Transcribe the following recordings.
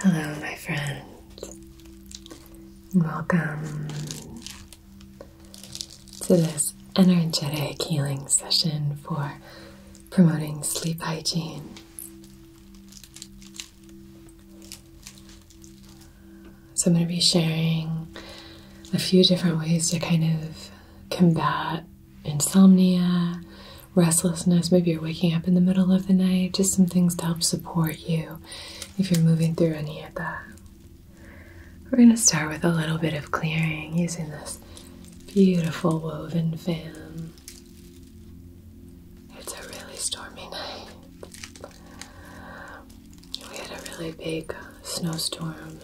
Hello, my friends, welcome to this energetic healing session for promoting sleep hygiene. So, I'm going to be sharing a few different ways to kind of combat insomnia, restlessness. Maybe you're waking up in the middle of the night. Just some things to help support you if you're moving through any of that. We're going to start with a little bit of clearing using this beautiful woven fan. It's a really stormy night. We had a really big snowstorm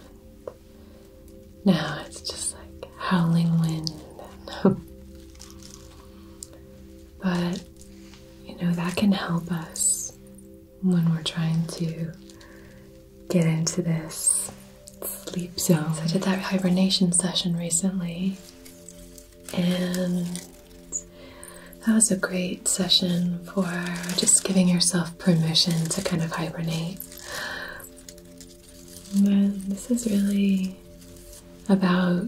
now it's just like howling wind. but, you know, that can help us when we're trying to get into this sleep zone. So I did that hibernation session recently, and that was a great session for just giving yourself permission to kind of hibernate this is really about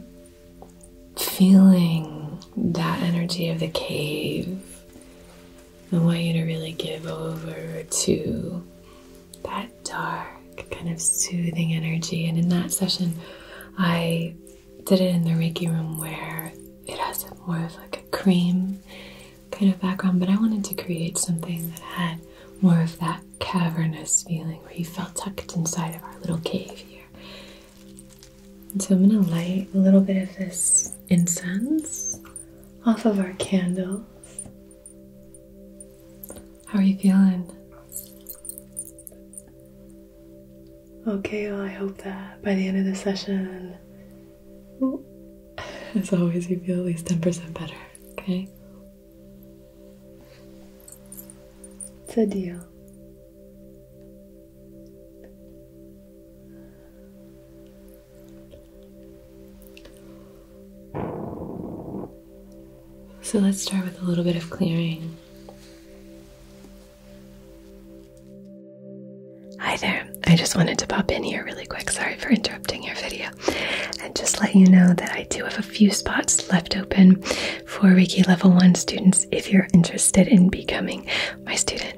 feeling that energy of the cave. I want you to really give over to that dark, kind of soothing energy. And in that session, I did it in the Reiki room where it has more of like a cream kind of background, but I wanted to create something that had more of that cavernous feeling where you felt tucked inside of our little cave here. so I'm going to light a little bit of this incense off of our candles. How are you feeling? Okay, well, I hope that by the end of the session, as always, you feel at least 10% better. Okay. It's a deal. So let's start with a little bit of clearing. Hi there. I just wanted to pop in here really quick. Sorry for interrupting your video and just let you know that I do have a few spots left open for Reiki Level 1 students if you're interested in becoming my student.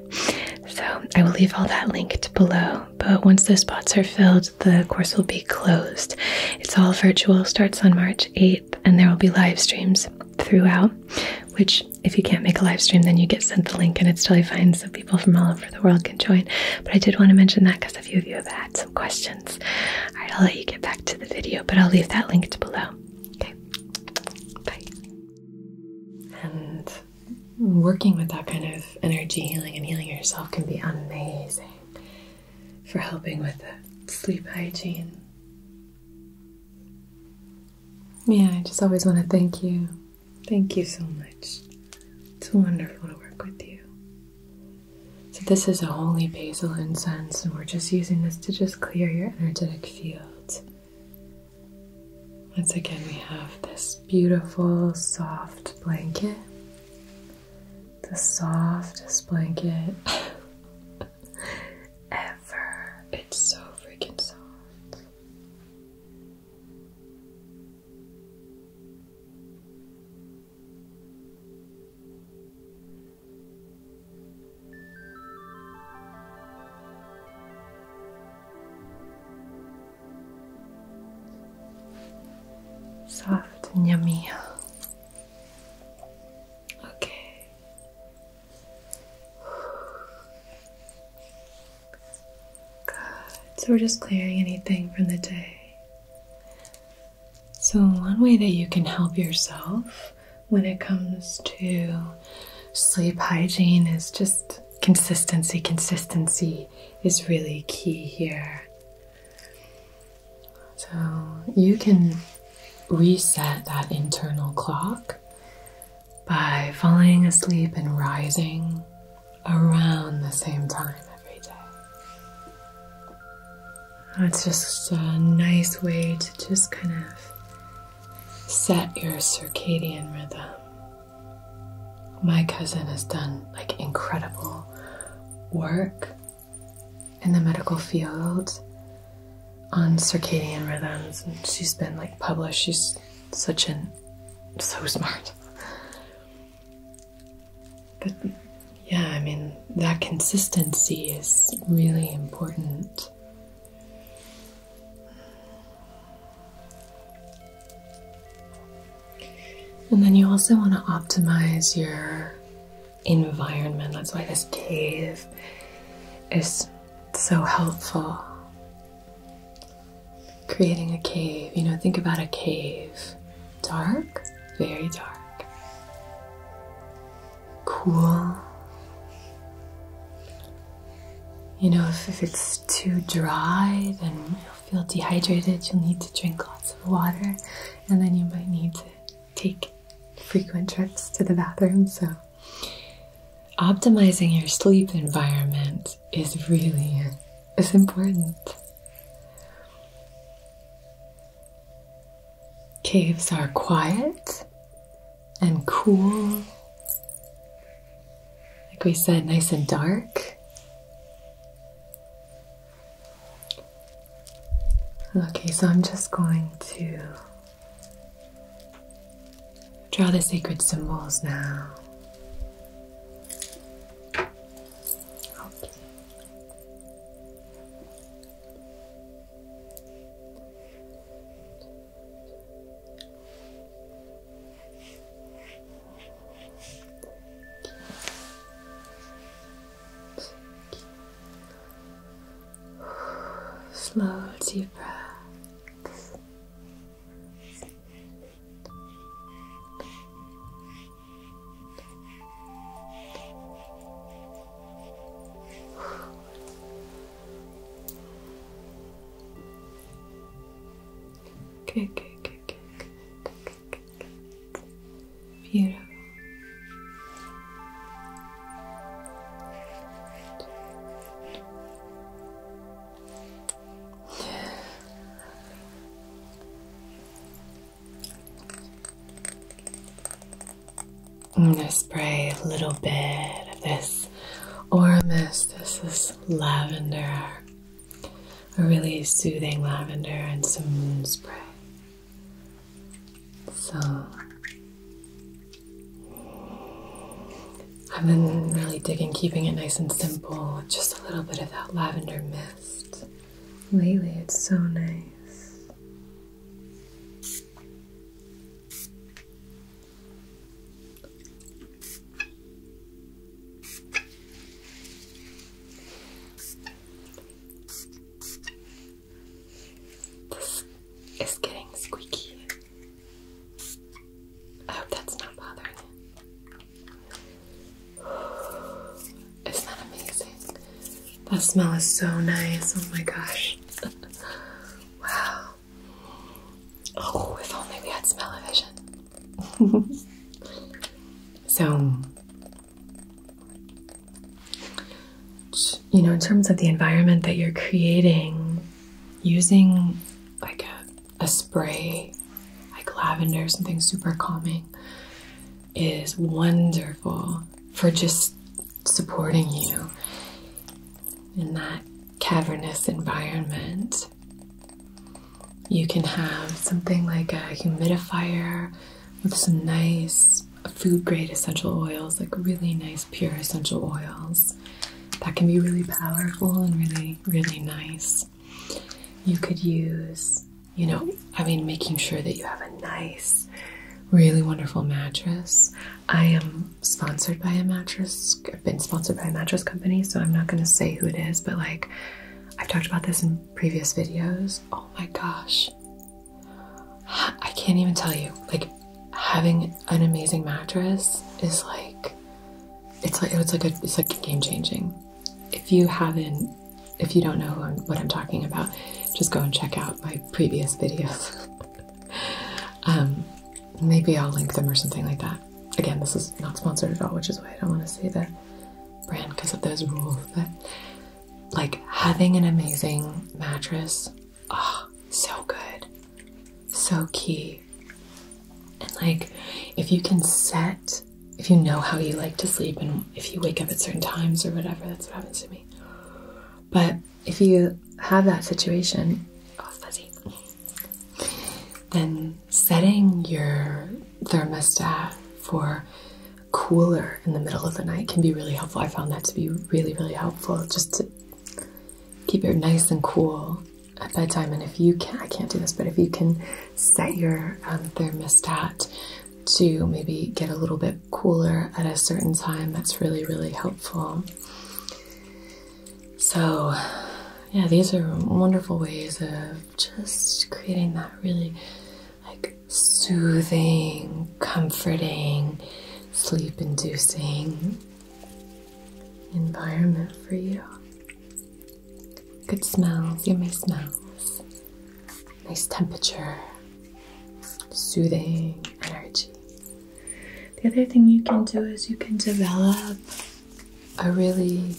So I will leave all that linked below. But once those spots are filled, the course will be closed. It's all virtual, starts on March 8th, and there will be live streams throughout. Which, if you can't make a live stream, then you get sent the link and it's totally fine. So people from all over the world can join. But I did want to mention that because a few of you have had some questions. right, I'll let you get back to the video, but I'll leave that linked below. Okay, bye. And working with that kind of energy healing and healing yourself can be amazing for helping with sleep hygiene. Yeah, I just always want to thank you. Thank you so much. It's wonderful to work with you. So this is a holy basil incense, and we're just using this to just clear your energetic field. Once again, we have this beautiful, soft blanket. The softest blanket ever. It's so freaking soft. Soft and yummy. Okay. Good. So we're just clearing anything from the day. So, one way that you can help yourself when it comes to sleep hygiene is just consistency. Consistency is really key here. So, you can reset that internal clock by falling asleep and rising around the same time every day. That's just a nice way to just kind of set your circadian rhythm. My cousin has done like incredible work in the medical field on circadian rhythms and she's been like published she's such an so smart but yeah, I mean, that consistency is really important. And then you also want to optimize your environment. That's why this cave is so helpful. Creating a cave, you know, think about a cave Dark, very dark. Cool. You know, if, it's too dry, then you'll feel dehydrated. You'll need to drink lots of water, and then you might need to take frequent trips to the bathroom. So, optimizing your sleep environment is really is important. Caves are quiet and cool. Like we said, nice and dark. Okay, so I'm just going to draw the sacred symbols now. Okay. Slow deep breaths. Good, good, good, good, good, good, good, Beautiful. I'm gonna spray a little bit of this aura mist. This is lavender, a really soothing lavender, and some moon spray. So I've been really digging keeping it nice and simple just a little bit of that lavender mist. Lately, it's so nice. This is getting squeaky. I hope that's not bothering you is that amazing? That smell is so nice. Oh my gosh. wow. Oh, if only we had smell so, you know, in terms of the environment that you're creating, using like a spray like lavender, something super calming, is wonderful for just supporting you in that cavernous environment. You can have something like a humidifier with some nice food grade essential oils, like really nice pure essential oils. That can be really powerful and really, really nice. You could use you know, I mean, making sure that you have a nice, really wonderful mattress. I am sponsored by a mattress, I've been sponsored by a mattress company, so I'm not going to say who it is, but like, I've talked about this in previous videos. Oh my gosh. I can't even tell you. Like, having an amazing mattress is like, it's like, it's like a, it's like game changing. If you haven't if you don't know what I'm talking about, just go and check out my previous videos. Um, maybe I'll link them or something like that. Again, this is not sponsored at all, which is why I don't want to say the brand because of those rules. But like having an amazing mattress, ah, so good, so key. And like if you can set if you know how you like to sleep and if you wake up at certain times or whatever, that's what happens to me. But if you have that situation, oh, then setting your thermostat for cooler in the middle of the night can be really helpful. I found that to be really, really helpful just to keep it nice and cool at bedtime. And if you can, not I can't do this, but if you can set your um, thermostat to maybe get a little bit cooler at a certain time, that's really, really helpful. So, yeah, these are wonderful ways of just creating that really like soothing, comforting, sleep inducing environment for you. Good smells, you miss smells nice temperature, soothing energy. The other thing you can do is you can develop a really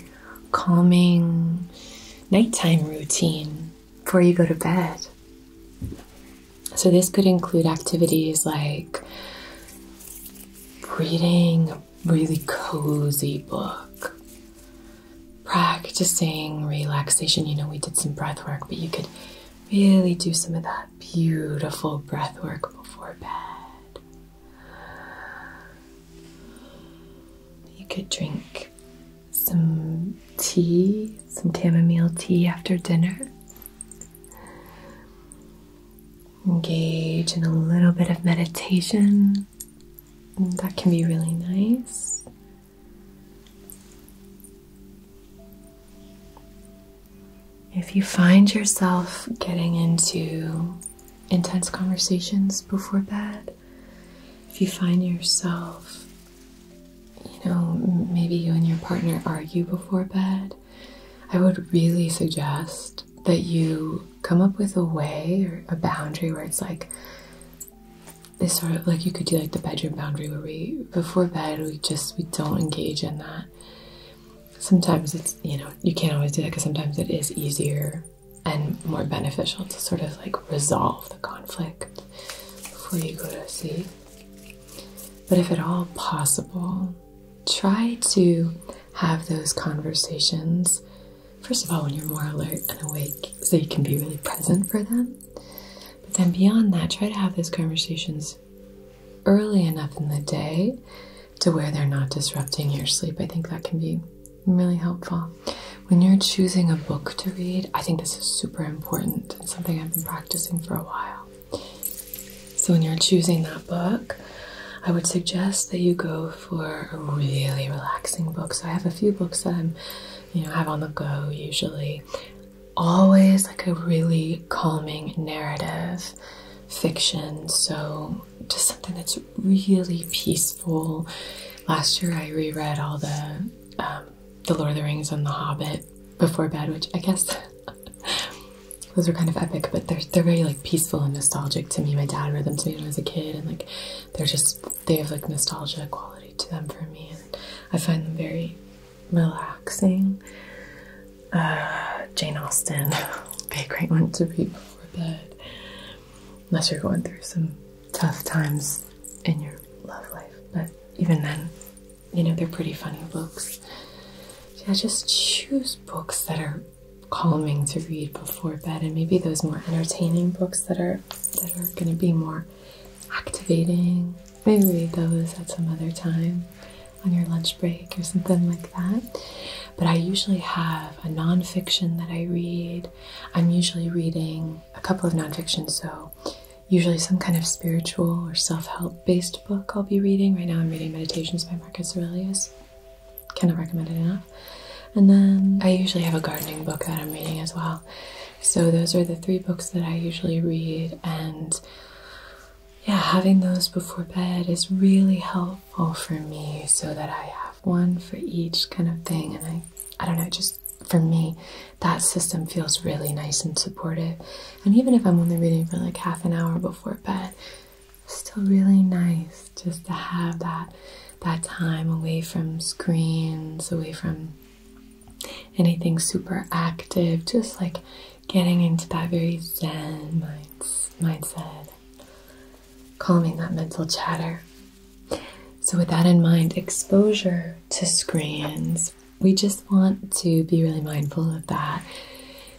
calming nighttime routine before you go to bed. So, this could include activities like reading a really cozy book, practicing relaxation. You know, we did some breath work, but you could really do some of that beautiful breath work before bed. You could drink some tea, some chamomile tea after dinner. Engage in a little bit of meditation. That can be really nice. If you find yourself getting into intense conversations before bed, if you find yourself, you know, maybe you and your partner argue before bed, I would really suggest that you come up with a way or a boundary where it's like, it's sort of like you could do like the bedroom boundary where we before bed we just we don't engage in that sometimes it's you know you can't always do that because sometimes it is easier and more beneficial to sort of like resolve the conflict before you go to sleep but if at all possible try to have those conversations first of all when you're more alert and awake so you can be really present for them but then beyond that, try to have those conversations early enough in the day to where they're not disrupting your sleep. I think that can be really helpful. When you're choosing a book to read, I think this is super important and something I've been practicing for a while. So when you're choosing that book, I would suggest that you go for a really relaxing book. So I have a few books that I'm you know have on the go usually always like a really calming narrative fiction so just something that's really peaceful last year i reread all the um, the lord of the rings and the hobbit before bed which i guess those were kind of epic but they're, they're very like peaceful and nostalgic to me my dad read them to me when i was a kid and like they're just they have like nostalgia quality to them for me, and I find them very relaxing. Uh, Jane Austen be a great one to read before bed, unless you're going through some tough times in your love life. But even then, you know, they're pretty funny books. Yeah, just choose books that are calming to read before bed, and maybe those more entertaining books that are that are going to be more activating. Maybe read those at some other time on your lunch break or something like that. But I usually have a nonfiction that I read. I'm usually reading a couple of nonfiction, so usually some kind of spiritual or self help based book I'll be reading. Right now, I'm reading Meditations by Marcus Aurelius. Cannot recommend it enough. And then I usually have a gardening book that I'm reading as well. So, those are the three books that I usually read, and yeah, having those before bed is really helpful for me so that I have one for each kind of thing. And I, I don't know, just for me, that system feels really nice and supportive. And even if I'm only reading for like half an hour before bed, it's still really nice just to have that that time away from screens, away from anything super active, just like getting into that very zen mindset, calming that mental chatter. So, with that in mind, exposure to screens, we just want to be really mindful of that.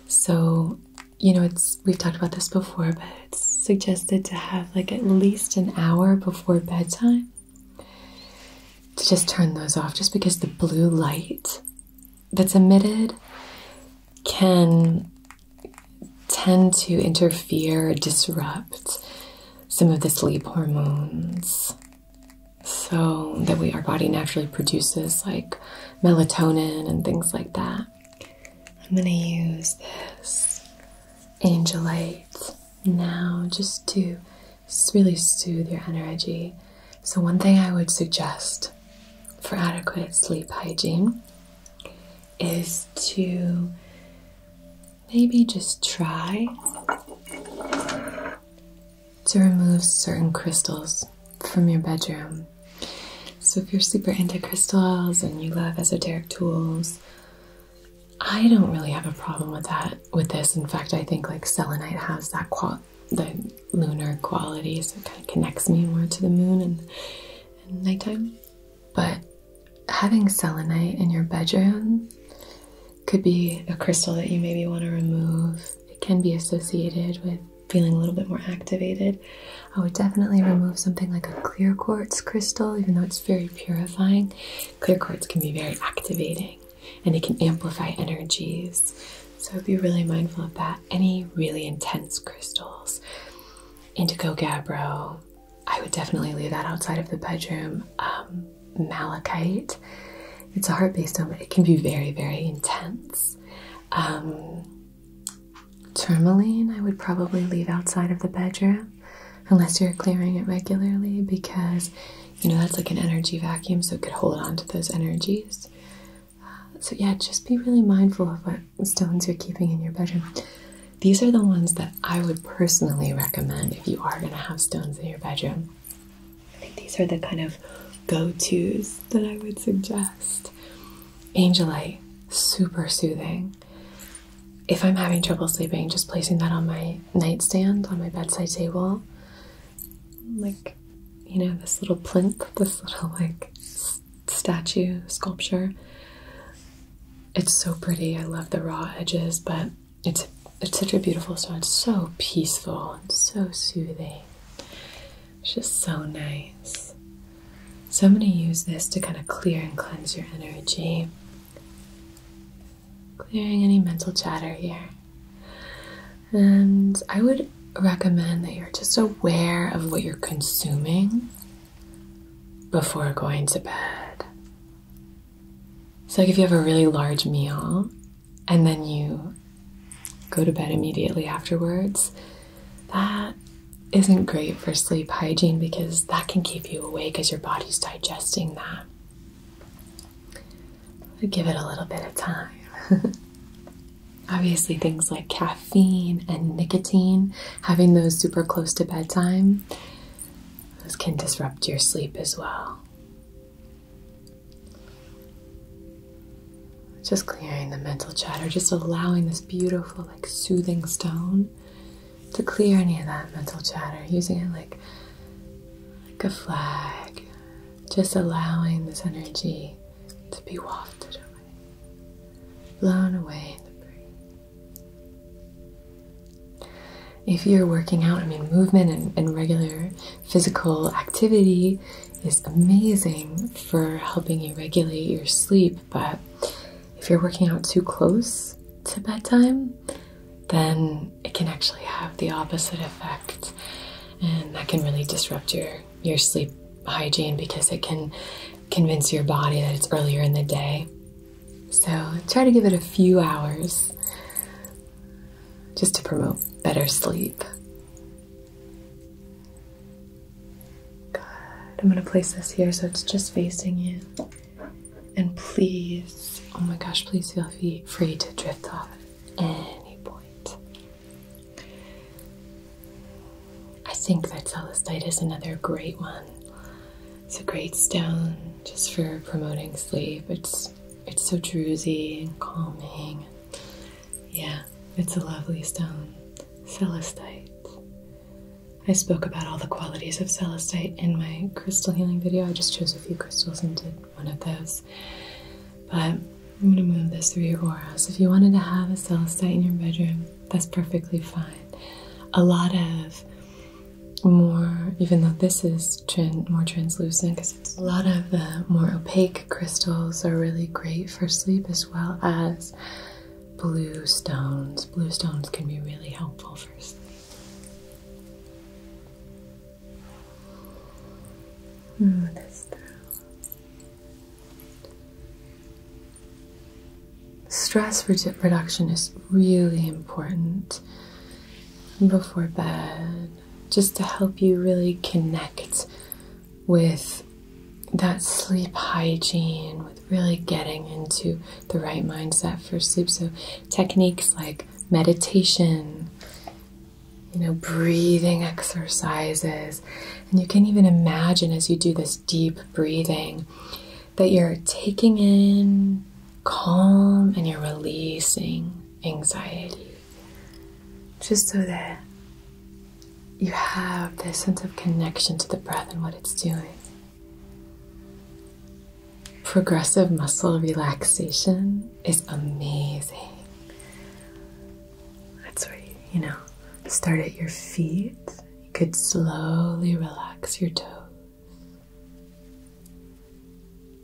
So, you know, it's we've talked about this before, but it's suggested to have like at least an hour before bedtime to just turn those off just because the blue light that's emitted can tend to interfere, disrupt some of the sleep hormones. So that we our body naturally produces like melatonin and things like that. I'm gonna use this angelite now just to really soothe your energy. So, one thing I would suggest for adequate sleep hygiene is to maybe just try to remove certain crystals from your bedroom. So, if you're super into crystals and you love esoteric tools, I don't really have a problem with that with this. In fact, I think like selenite has that the lunar quality, so it kind of connects me more to the moon and, and nighttime. But having selenite in your bedroom could be a crystal that you maybe want to remove. It can be associated with feeling a little bit more activated. I would definitely remove something like a clear quartz crystal, even though it's very purifying. Clear quartz can be very activating and it can amplify energies. So be really mindful of that. Any really intense crystals, indigo gabbro, I would definitely leave that outside of the bedroom. Um, malachite, it's a heart based stone, but it can be very, very intense. Um, tourmaline, I would probably leave outside of the bedroom unless you're clearing it regularly because you know that's like an energy vacuum, so it could hold on to those energies. so, yeah, just be really mindful of what stones you're keeping in your bedroom. These are the ones that I would personally recommend if you are going to have stones in your bedroom. I think these are the kind of go tos that I would suggest. Angelite, super soothing if I'm having trouble sleeping, just placing that on my nightstand, on my bedside table. Like, you know, this little plinth, this little like statue, sculpture. It's so pretty. I love the raw edges, but it's it's such a beautiful stone. It's so peaceful and so soothing. It's just so nice. So I'm going to use this to kind of clear and cleanse your energy clearing any mental chatter here. And I would recommend that you're just aware of what you're consuming before going to bed. So, like if you have a really large meal and then you go to bed immediately afterwards, that isn't great for sleep hygiene because that can keep you awake as your body's digesting that give it a little bit of time. Obviously, things like caffeine and nicotine, having those super close to bedtime, those can disrupt your sleep as well. Just clearing the mental chatter, just allowing this beautiful, like soothing stone to clear any of that mental chatter, using it like like a flag, just allowing this energy to be wafted away, blown away in the breeze. If you're working out, I mean, movement and regular physical activity is amazing for helping you regulate your sleep, but if you're working out too close to bedtime, then it can actually have the opposite effect. And that can really disrupt your, your sleep hygiene because it can convince your body that it's earlier in the day. So try to give it a few hours just to promote better sleep. Good. I'm going to place this here so it's just facing you. And please, oh my gosh, please feel free to drift off at any point. I think that celestite is another great one. It's a great stone just for promoting sleep. It's it's so druzy and calming. Yeah, it's a lovely stone. Celestite. I spoke about all the qualities of celestite in my crystal healing video. I just chose a few crystals and did one of those. But I'm going to move this through your aura. So if you wanted to have a celestite in your bedroom, that's perfectly fine. A lot of more, even though this is more translucent, because it's a lot of the more opaque crystals are really great for sleep, as well as blue stones. Blue stones can be really helpful for sleep. Stress reduction is really important before bed, just to help you really connect with that sleep hygiene, with really getting into the right mindset for sleep. So, techniques like meditation, you know, breathing exercises. And you can even imagine as you do this deep breathing that you're taking in calm and you're releasing anxiety. Just so that you have this sense of connection to the breath and what it's doing progressive muscle relaxation is amazing. That's where you, know, start at your feet. You could slowly relax your toes.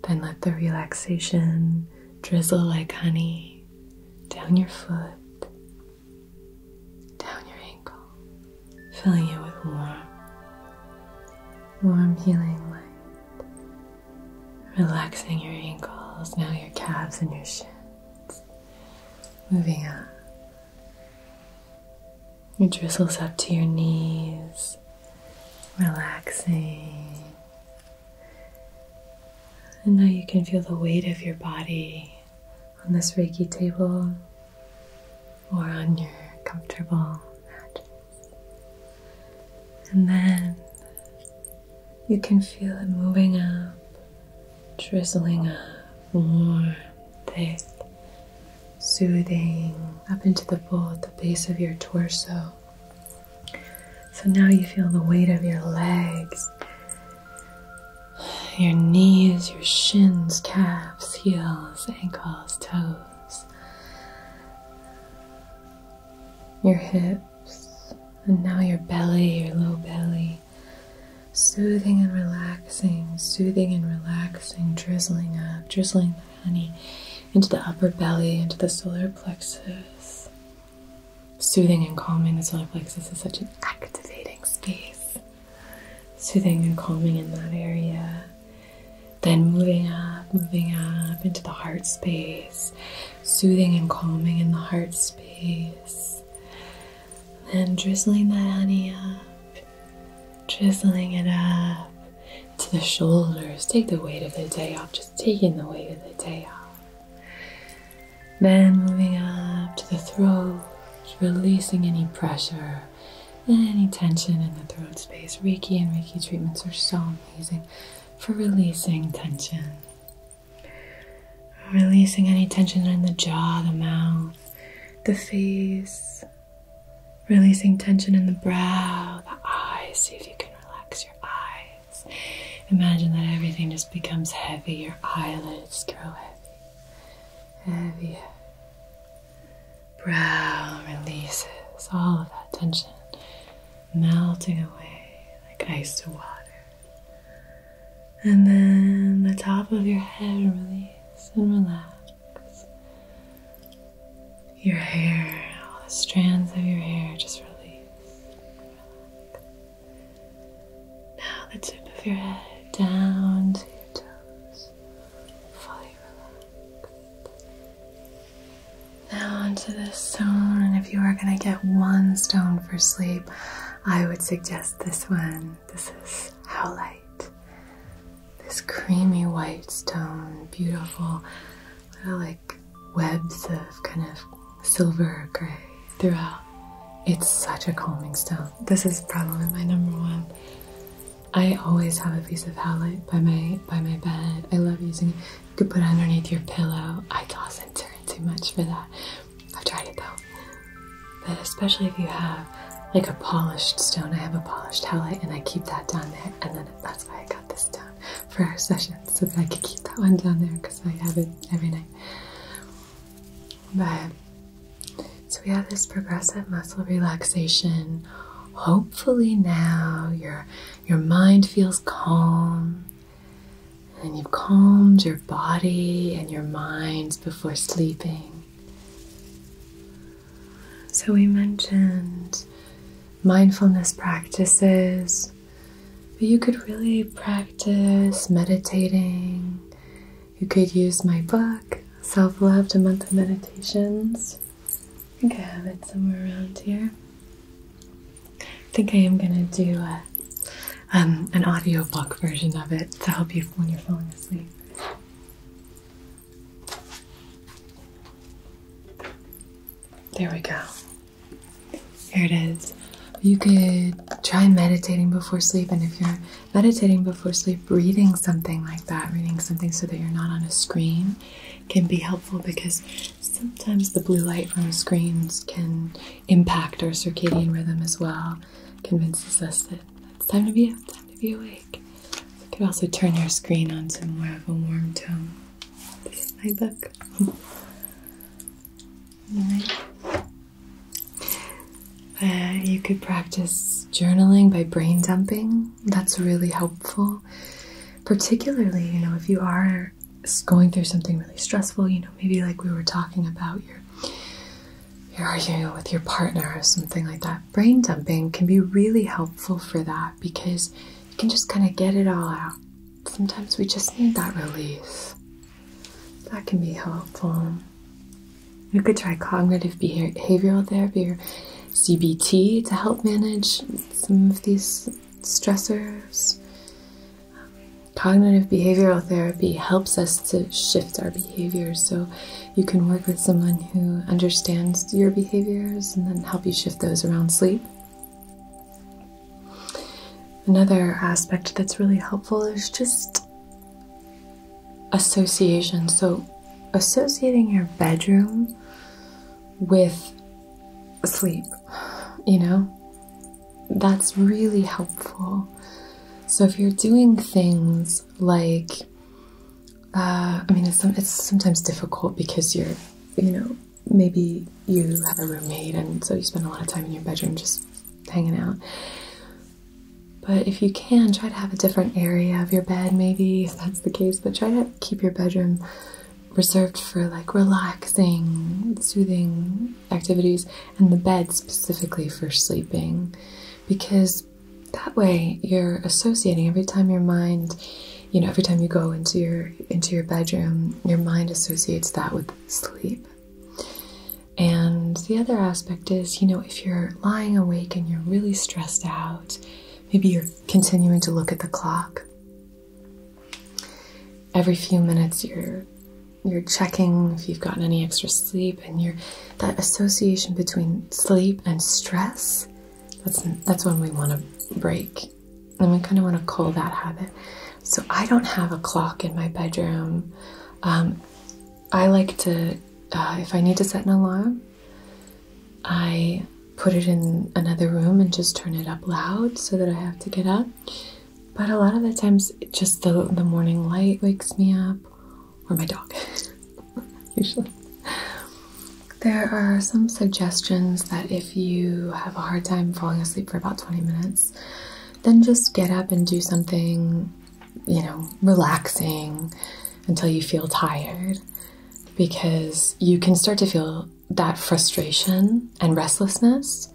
Then let the relaxation drizzle like honey down your foot, down your ankle, filling you with warm, warm healing light. Relaxing your ankles, now your calves and your shins. Moving up. It drizzles up to your knees, relaxing. And now you can feel the weight of your body on this Reiki table or on your comfortable mat. And then you can feel it moving up, drizzling up, warm, thick, soothing, up into the bowl at the base of your torso. So now you feel the weight of your legs, your knees, your shins, calves, heels, ankles, toes your hips, and now your belly, your low belly. Soothing and relaxing, soothing and relaxing, drizzling up, drizzling the honey into the upper belly, into the solar plexus. Soothing and calming the solar plexus is such an activating space. Soothing and calming in that area. Then moving up, moving up into the heart space, soothing and calming in the heart space. and drizzling that honey up, drizzling it up to the shoulders. Take the weight of the day off, just taking the weight of the day off. Then moving up to the throat, releasing any pressure, any tension in the throat space. Reiki and Reiki treatments are so for releasing tension. Releasing any tension in the jaw, the mouth, the face. Releasing tension in the brow, the eyes. See if you can relax your eyes. Imagine that everything just becomes heavy. Your eyelids grow heavy. Heavy, heavy. Brow releases all of that tension melting away like ice to water. And then the top of your head release and relax. Your hair, all the strands of your hair just release. Relax. Now the tip of your head down to your toes, fully relaxed. Now onto this stone, and if you are going to get one stone for sleep, I would suggest this one. This is howlite. This creamy white stone, beautiful little like webs of kind of silver gray throughout. It's such a calming stone. This is probably my number one. I always have a piece of howlite by my by my bed. I love using it. You could put underneath your pillow. I toss and turn too much for that. I've tried it though. But especially if you have like a polished stone. I have a polished hallite and I keep that down there. And then that's why I got this stone for our session so that I could keep that one down there because I have it every night. But so we have this progressive muscle relaxation. Hopefully now you're your mind feels calm, and you've calmed your body and your mind before sleeping. So, we mentioned mindfulness practices, but you could really practice meditating. You could use my book, Self Love A Month of Meditations. I think I have it somewhere around here. I think I am gonna do a, um, an audiobook version of it to help you when you're falling asleep. There we go. Here it is. You could try meditating before sleep, and if you're meditating before sleep, reading something like that, reading something so that you're not on a screen can be helpful because sometimes the blue light from screens can impact our circadian rhythm as well. Convinces us that it's time to be up, time to be awake. You could also turn your screen on to more of a warm tone. This is my book. right. Uh, you could practice journaling by brain dumping. That's really helpful particularly, you know, if you are going through something really stressful, you know, maybe like we were talking about your you're arguing with your partner or something like that. Brain dumping can be really helpful for that because you can just kind of get it all out. Sometimes we just need that release. That can be helpful. You could try cognitive behavioral therapy or CBT to help manage some of these stressors. cognitive behavioral therapy helps us to shift our behaviors. So you can work with someone who understands your behaviors and then help you shift those around sleep. Another aspect that's really helpful is just association. So, associating your bedroom with sleep. You know? That's really helpful. So if you're doing things like, uh, I mean, it's, it's sometimes difficult because you're, you know, maybe you have a roommate and so you spend a lot of time in your bedroom just hanging out. But if you can, try to have a different area of your bed, maybe if that's the case, but try to keep your bedroom reserved for like relaxing, soothing activities, and the bed specifically for sleeping because that way you're associating every time your mind you know every time you go into your into your bedroom your mind associates that with sleep and the other aspect is you know if you're lying awake and you're really stressed out maybe you're continuing to look at the clock every few minutes you're you're checking if you've gotten any extra sleep and you're that association between sleep and stress that's that's when we want to break and we kind of want to cull that habit so i don't have a clock in my bedroom um, i like to uh, if i need to set an alarm i put it in another room and just turn it up loud so that I have to get up. But a lot of the times, just the, the morning light wakes me up, or my dog, usually. There are some suggestions that if you have a hard time falling asleep for about 20 minutes, then just get up and do something, you know, relaxing until you feel tired because you can start to feel that frustration and restlessness.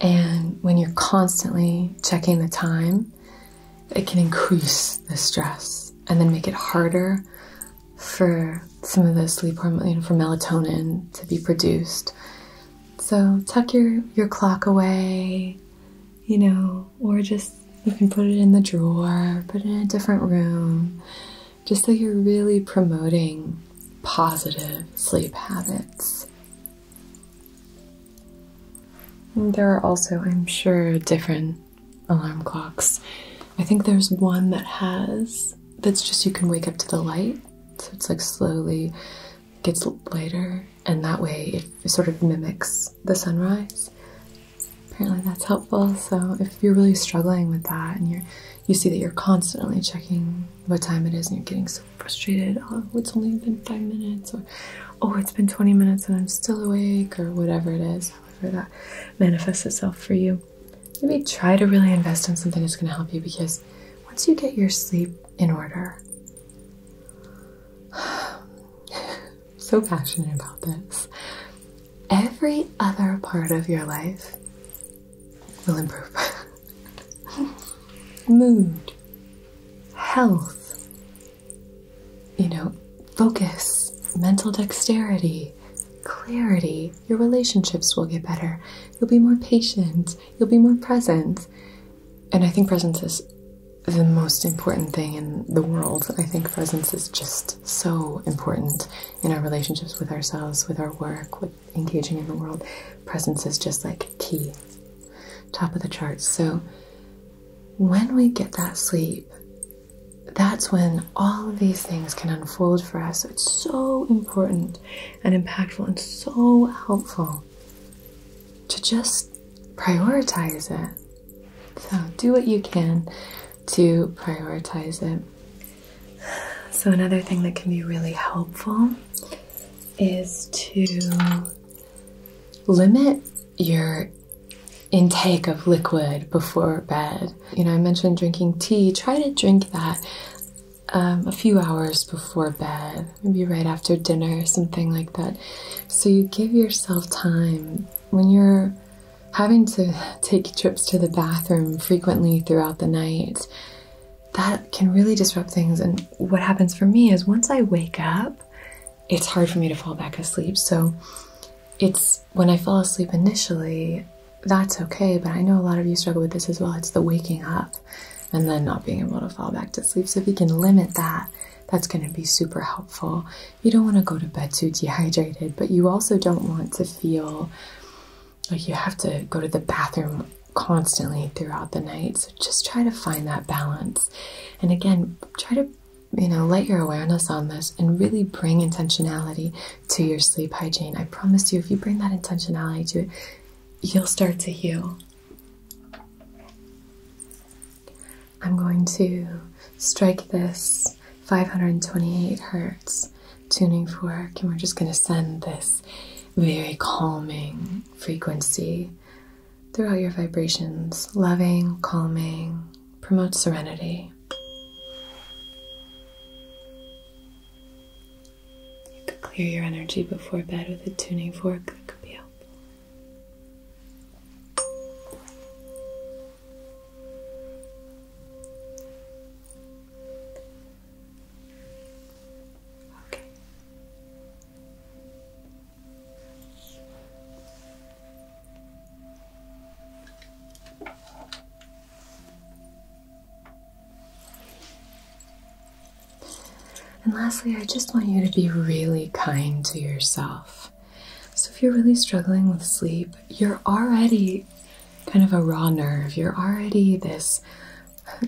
And when you're constantly checking the time, it can increase the stress and then make it harder for some of the sleep hormone, for melatonin to be produced. So tuck your, your clock away, you know, or just you can put it in the drawer, put it in a different room, just so you're really promoting positive sleep habits. there are also, I'm sure, different alarm clocks. I think there's one that has that's just you can wake up to the light, so it's like slowly gets lighter, and that way it sort of mimics the sunrise. Apparently, that's helpful. So, if you're really struggling with that and you're you see that you're constantly checking what time it is and you're getting so frustrated. Oh, it's only been five minutes, or oh, it's been 20 minutes and I'm still awake, or whatever it is, however that manifests itself for you. Maybe try to really invest in something that's going to help you because once you get your sleep in order, so passionate about this every other part of your life will improve. Mood, health, you know, focus, mental dexterity, clarity. Your relationships will get better. You'll be more patient. You'll be more present. And I think presence is the most important thing in the world. I think presence is just so important in our relationships with ourselves, with our work, with engaging in the world, presence is just like key, top of the charts. So when we get that sleep, that's when all of these things can unfold for us. So it's so important and impactful and so helpful to just prioritize it. So do what you can to prioritize it. So, another thing that can be really helpful is to limit your intake of liquid before bed. You know, I mentioned drinking tea. Try to drink that um, a few hours before bed, maybe right after dinner, something like that. So you give yourself time when you're having to take trips to the bathroom frequently throughout the night that can really disrupt things. And what happens for me is once I wake up, it's hard for me to fall back asleep. So it's when I fall asleep initially, that's okay. But I know a lot of you struggle with this as well. It's the waking up and then not being able to fall back to sleep. So if you can limit that, that's going to be super helpful. You don't want to go to bed too dehydrated, but you also don't want to feel like you have to go to the bathroom constantly throughout the night. So just try to find that balance. And again, try to you know, let your awareness on this and really bring intentionality to your sleep hygiene. I promise you, if you bring that intentionality to it, you'll start to heal. I'm going to strike this 528 hertz tuning fork, and we're just going to send this very calming frequency through all your vibrations. Loving, calming, promotes serenity. You could clear your energy before bed with a tuning fork. That could be helpful. And lastly, I just want you to be really kind to yourself. So, if you're really struggling with sleep, you're already kind of a raw nerve. You're already this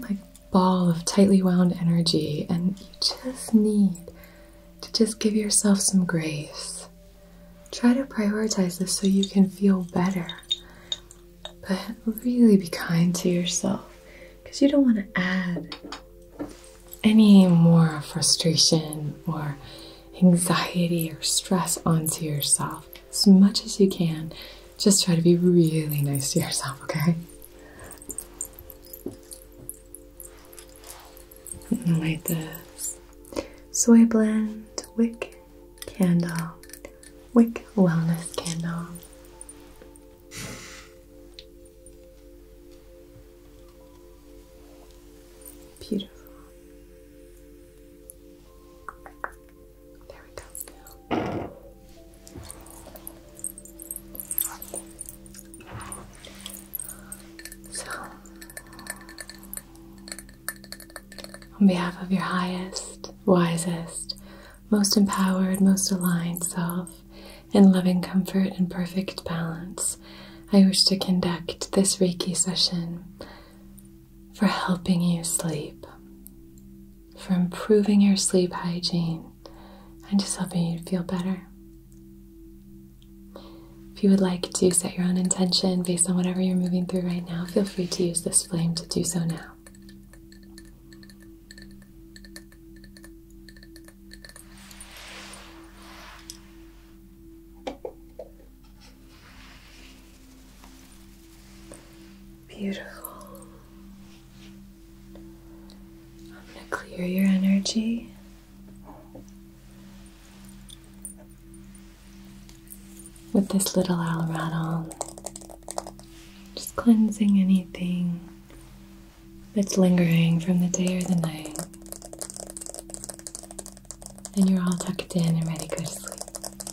like ball of tightly wound energy, and you just need to just give yourself some grace. Try to prioritize this so you can feel better, but really be kind to yourself because you don't want to add any more frustration or anxiety or stress onto yourself as much as you can just try to be really nice to yourself, okay? I'm gonna light this soy blend wick candle, wick wellness candle. Beautiful. There we go. So, on behalf of your highest, wisest, most empowered, most aligned self, in loving comfort and perfect balance, I wish to conduct this Reiki session for helping you sleep, for improving your sleep hygiene, and just helping you feel better. If you would like to set your own intention based on whatever you're moving through right now, feel free to use this flame to do so now. Beautiful. I'm going to clear your energy. With this little owl rattle, just cleansing anything that's lingering from the day or the night. And you're all tucked in and ready to go to sleep.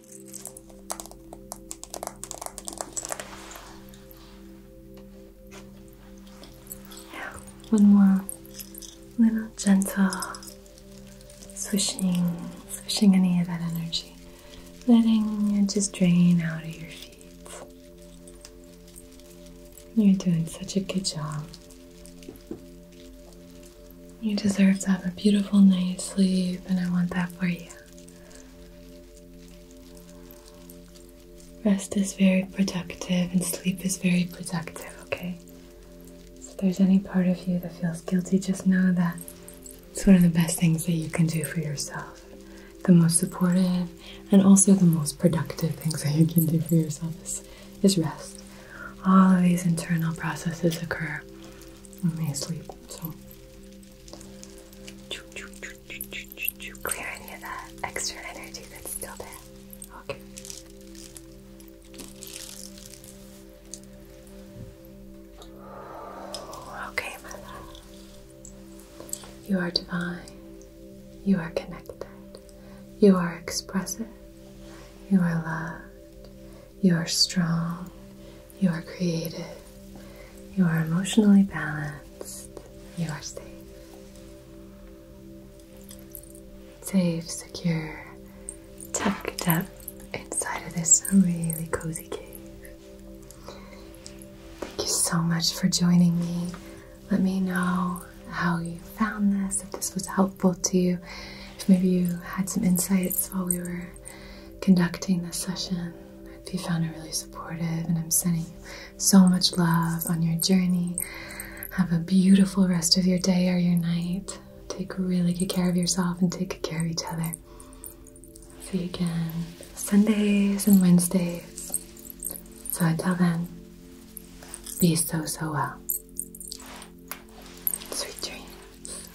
one more little gentle swishing, swishing any of that energy, letting it just drain out of your feet. You're doing such a good job. You deserve to have a beautiful night's sleep, and I want that for you. Rest is very productive and sleep is very productive, okay? So if there's any part of you that feels guilty, just know that it's one of the best things that you can do for yourself. The most supportive and also the most productive things that you can do for yourself is, is rest. All of these internal processes occur when we sleep, so Clear any of that extra energy that's still there. Okay. Okay, my You are divine. You are connected. You are expressive. You are loved. You are strong. You are creative. You are emotionally balanced. You are safe. Safe, secure, tucked up inside of this really cozy cave. Thank you so much for joining me. Let me know how you found this, if this was helpful to you, if maybe you had some insights while we were conducting this session. If you found it really supportive, and I'm sending so much love on your journey. Have a beautiful rest of your day or your night. Take really good care of yourself and take good care of each other. See you again Sundays and Wednesdays. So until then, be so, so well. Sweet dreams.